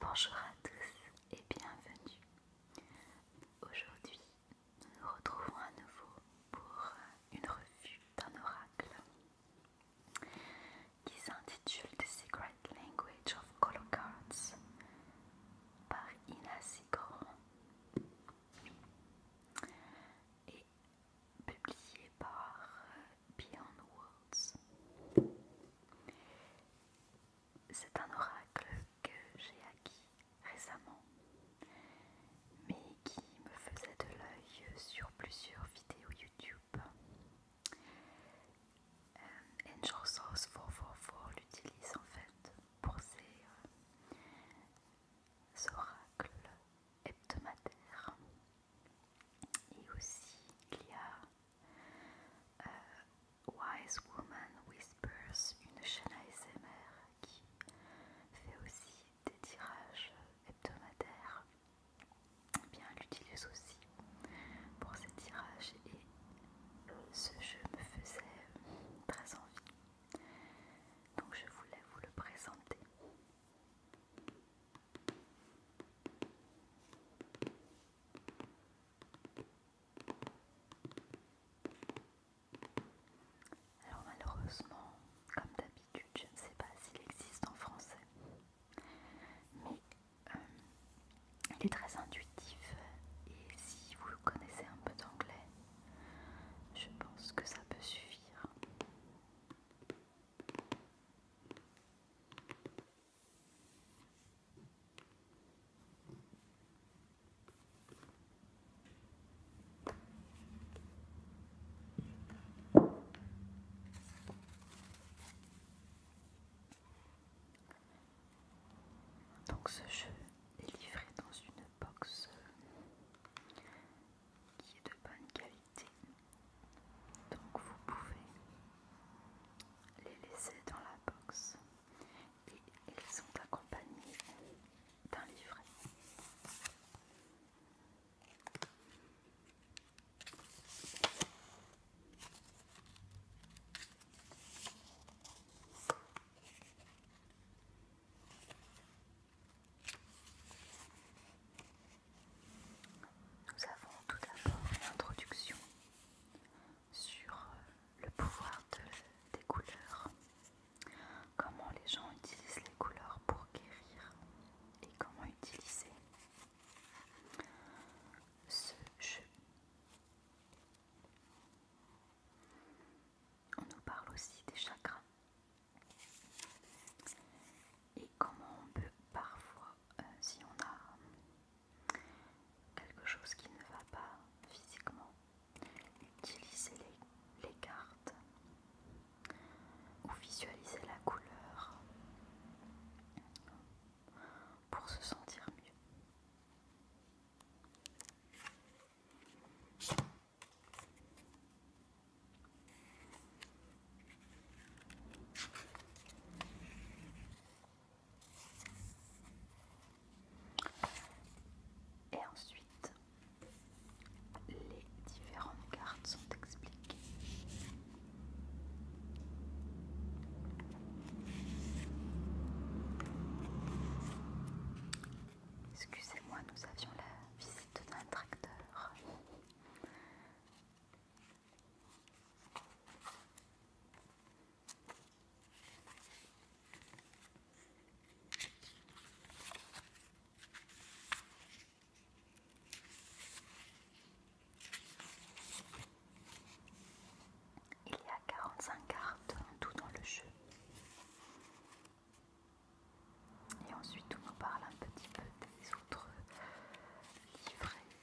Bonjour à tous et bienvenue. Aujourd'hui, nous nous retrouvons à nouveau pour euh, une revue d'un oracle qui s'intitule The Secret Language of Color Cards par Ina Sigor et publié par euh, Beyond Worlds. C'est un oracle que j'ai acquis récemment, mais qui me faisait de l'œil sur plusieurs vidéos YouTube. Um, Angel 444 l'utilise en fait pour ses, ses euh, oracles hebdomadaires. Et aussi, il y a euh, Wise Woman Whispers, une chaîne ASMR qui fait aussi des tirages hebdomadaires. bien, elle l'utilise aussi pour ses tirages et ce jeu me faisait très envie. Donc je voulais vous le présenter. Alors malheureusement, comme d'habitude, je ne sais pas s'il existe en français, mais euh, il est très intuitif et si vous connaissez un peu d'anglais, je pense que ça peut suffire. Donc ce jeu est livré dans une box qui est de bonne qualité. Donc vous pouvez les laisser dans la box et ils sont accompagnés d'un livret. Nous avons tout d'abord une introduction sur euh, le pouvoir des couleurs, comment les gens utilisent les couleurs pour guérir et comment utiliser ce jeu. On nous parle aussi des chakras et comment on peut parfois euh, si on a quelque chose qui ne va pas physiquement, utilisez les, les cartes ou visualisez la couleur pour se sentir mieux. Et ensuite, les différentes cartes sont expliquées. Excusez-moi, nous avions la visite d'un tracteur. Il y a 45 cartes tout dans le jeu. Et ensuite on nous parle un petit peu des autres livrets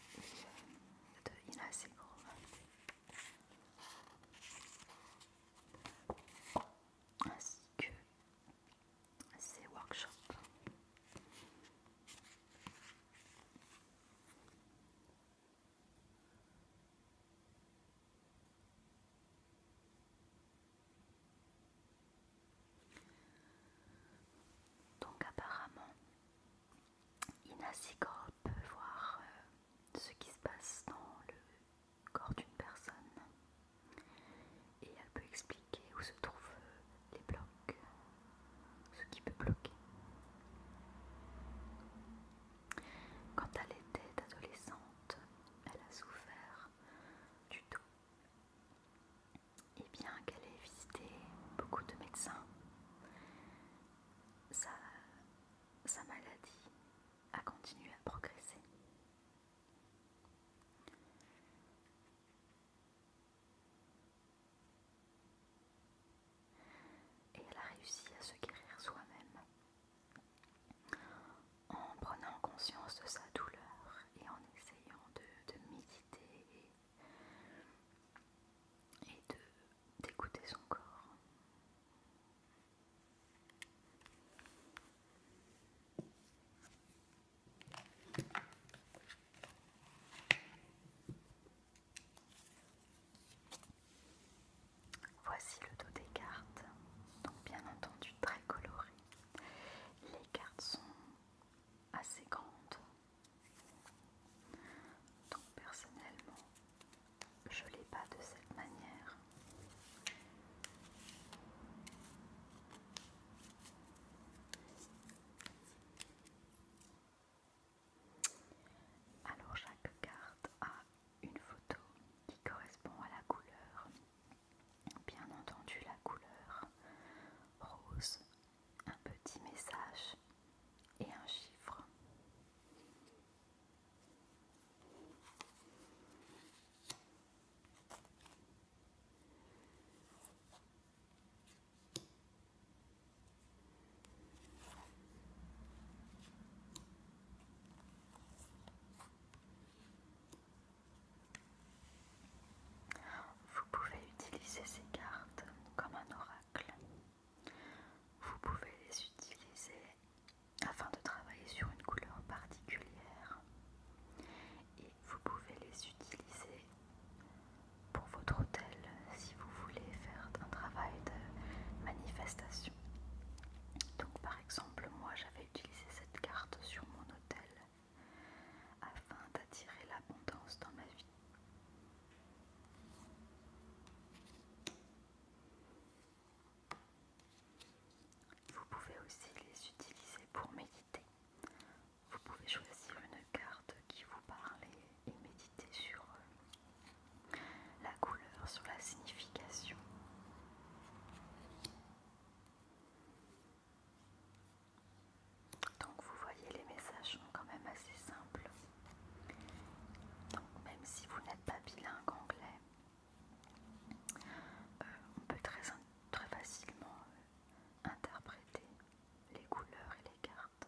de Inaseguro. Ainsi que ses workshops. Donc apparemment, Sigor peut voir euh, ce qui se passe dans le corps d'une personne et elle peut expliquer où se trouvent euh, les blocs, ce qui peut bloquer. Quand elle était adolescente, elle a souffert du dos et eh bien qu'elle ait visité beaucoup de médecins, sa, maladie a continué à progresser. Et elle a réussi à se guérir soi-même en prenant conscience de sa douleur et en essayant de méditer et de d'écouter son corps. Voici le dos des cartes, bien entendu très coloré. Les cartes sont assez grandes, donc personnellement, je ne l'ai pas de cette manière. Alors chaque carte a une photo qui correspond à la couleur. Bien entendu la couleur rose un petit message et un chiffre. Vous pouvez utiliser ces cartes comme un oracle. Vous pouvez les utiliser afin de travailler sur une couleur particulière et vous pouvez les utiliser pour votre hôtel si vous voulez faire un travail de manifestation. Donc par exemple moi j'avais utilisé cette carte sur mon hôtel afin d'attirer l'abondance dans ma vie. Vous pouvez aussi les utiliser pour méditer. Vous pouvez choisir une carte qui vous parle et, méditer sur euh, la couleur, sur la signification. Donc vous voyez, les messages sont quand même assez simples. Donc même si vous n'êtes pas bilingue anglais, euh, on peut très, très facilement euh, interpréter les couleurs et les cartes.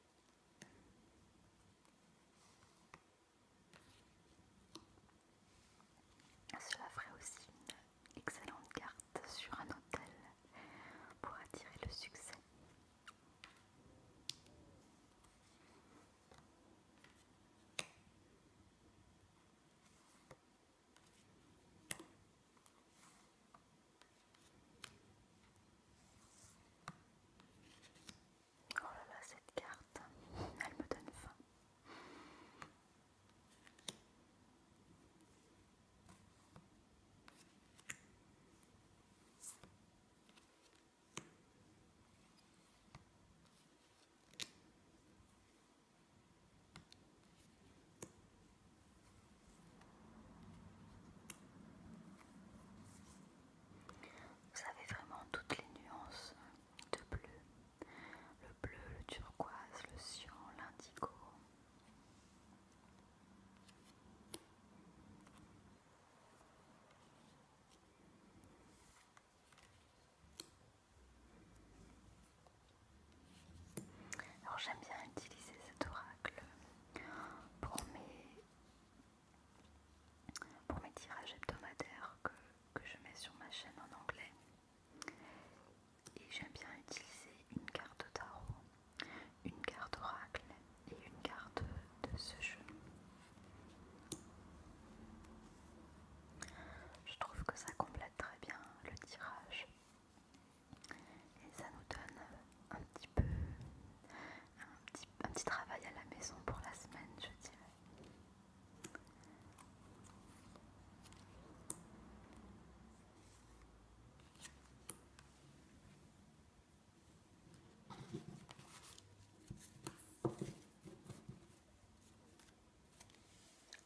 Cela ferait aussi une excellente carte sur un hôtel pour attirer le succès. Oh là là, cette carte, elle me donne faim. Vous avez vraiment toutes les nuances de bleu. Le bleu, le turquoise, le cyan, l'indigo. Alors j'aime bien utiliser cet oracle pour mes pour mes tirages hebdomadaires que, je mets sur ma chaîne en anglais. Et j'aime bien utiliser une carte tarot, une carte oracle et une carte de ce jeu. Je trouve que ça complète très bien le tirage. Et ça nous donne un petit peu un petit, petit travail à la maison pour la semaine, je dirais.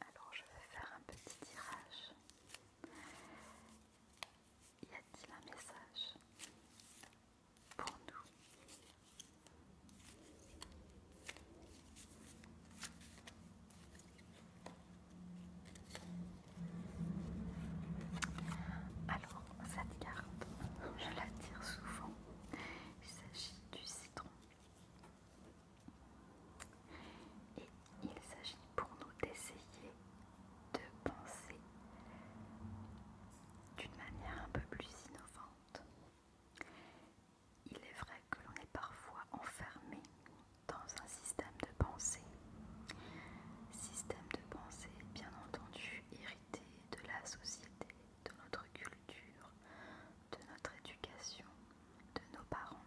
Alors je vais faire un petit tirage y a-t-il un message pour nous Alors, cette carte, je la tire souvent. Il s'agit du citron. Et il s'agit pour nous d'essayer de penser d'une manière un peu plus innovante. Il est vrai que l'on est parfois enfermé dans un système de pensée. Système de pensée bien entendu hérité de la société, de notre culture, de notre éducation, de nos parents.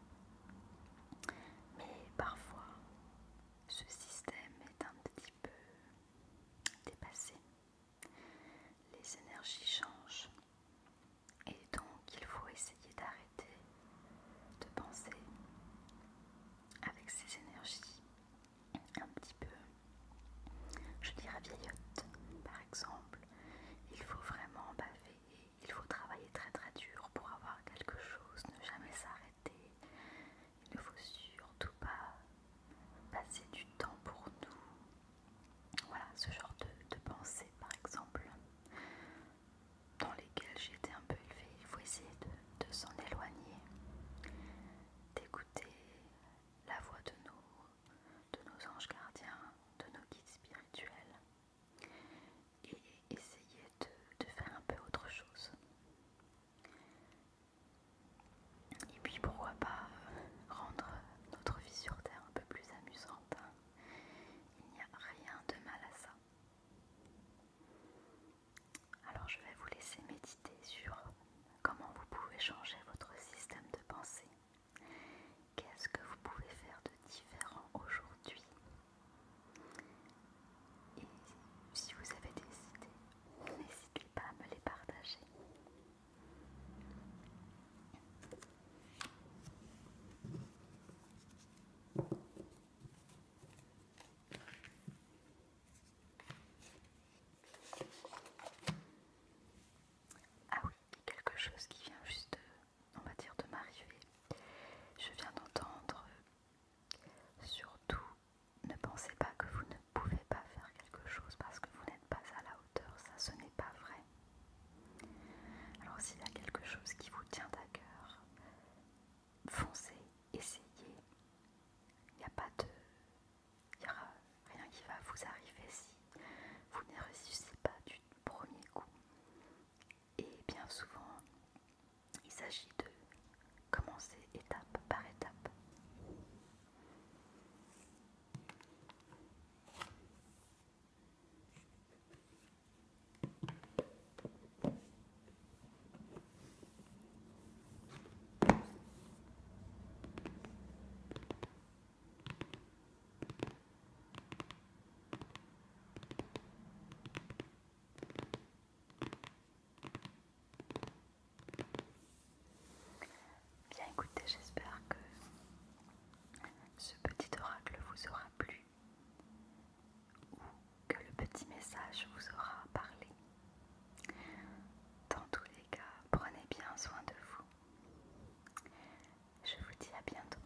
Mais parfois, ce système est un petit peu dépassé. Les énergies changent et donc il faut essayer d'arrêter de penser avec ces énergies un petit peu, je dirais vieillotte par exemple. Il faut vraiment baver, il faut travailler très très dur pour avoir quelque chose, ne jamais s'arrêter. Il ne faut surtout pas passer du temps pour nous. Voilà, ce genre de, de pensée, par exemple, dans lesquelles j'étais un peu élevée. Il faut essayer de, s'en éloigner, d'écouter la voix de de nos anges gardiens, de nos guides spirituels et essayer de, faire un peu autre chose. Et puis pourquoi pas euh, rendre notre vie sur Terre un peu plus amusante. Hein. Il n'y a rien de mal à ça. Alors je vais vous laisser méditer sur comment vous pouvez changer votre système de pensée. Qu'est-ce que vous pouvez faire de différent aujourd'hui et si vous avez des idées, n'hésitez pas à me les partager. Ah oui, quelque chose qui vient juste, on va de m'arriver. Je viens d'entendre Surtout, ne pensez pas que vous ne pouvez pas faire quelque chose parce que vous n'êtes pas à la hauteur, ça ce n'est pas vrai. Alors s'il y a quelque chose qui vous tient à cœur, foncez, essayez. Il n'y a pas de... Il n'y aura rien qui va vous arriver si vous ne réussissez pas du premier coup. Et bien souvent, il s'agit de commencer étape par étape. Bien écoutez, j'espère que ce petit oracle vous aura plu ou que le petit message vous aura parlé. Dans tous les cas, prenez bien soin de vous. Je vous dis à bientôt.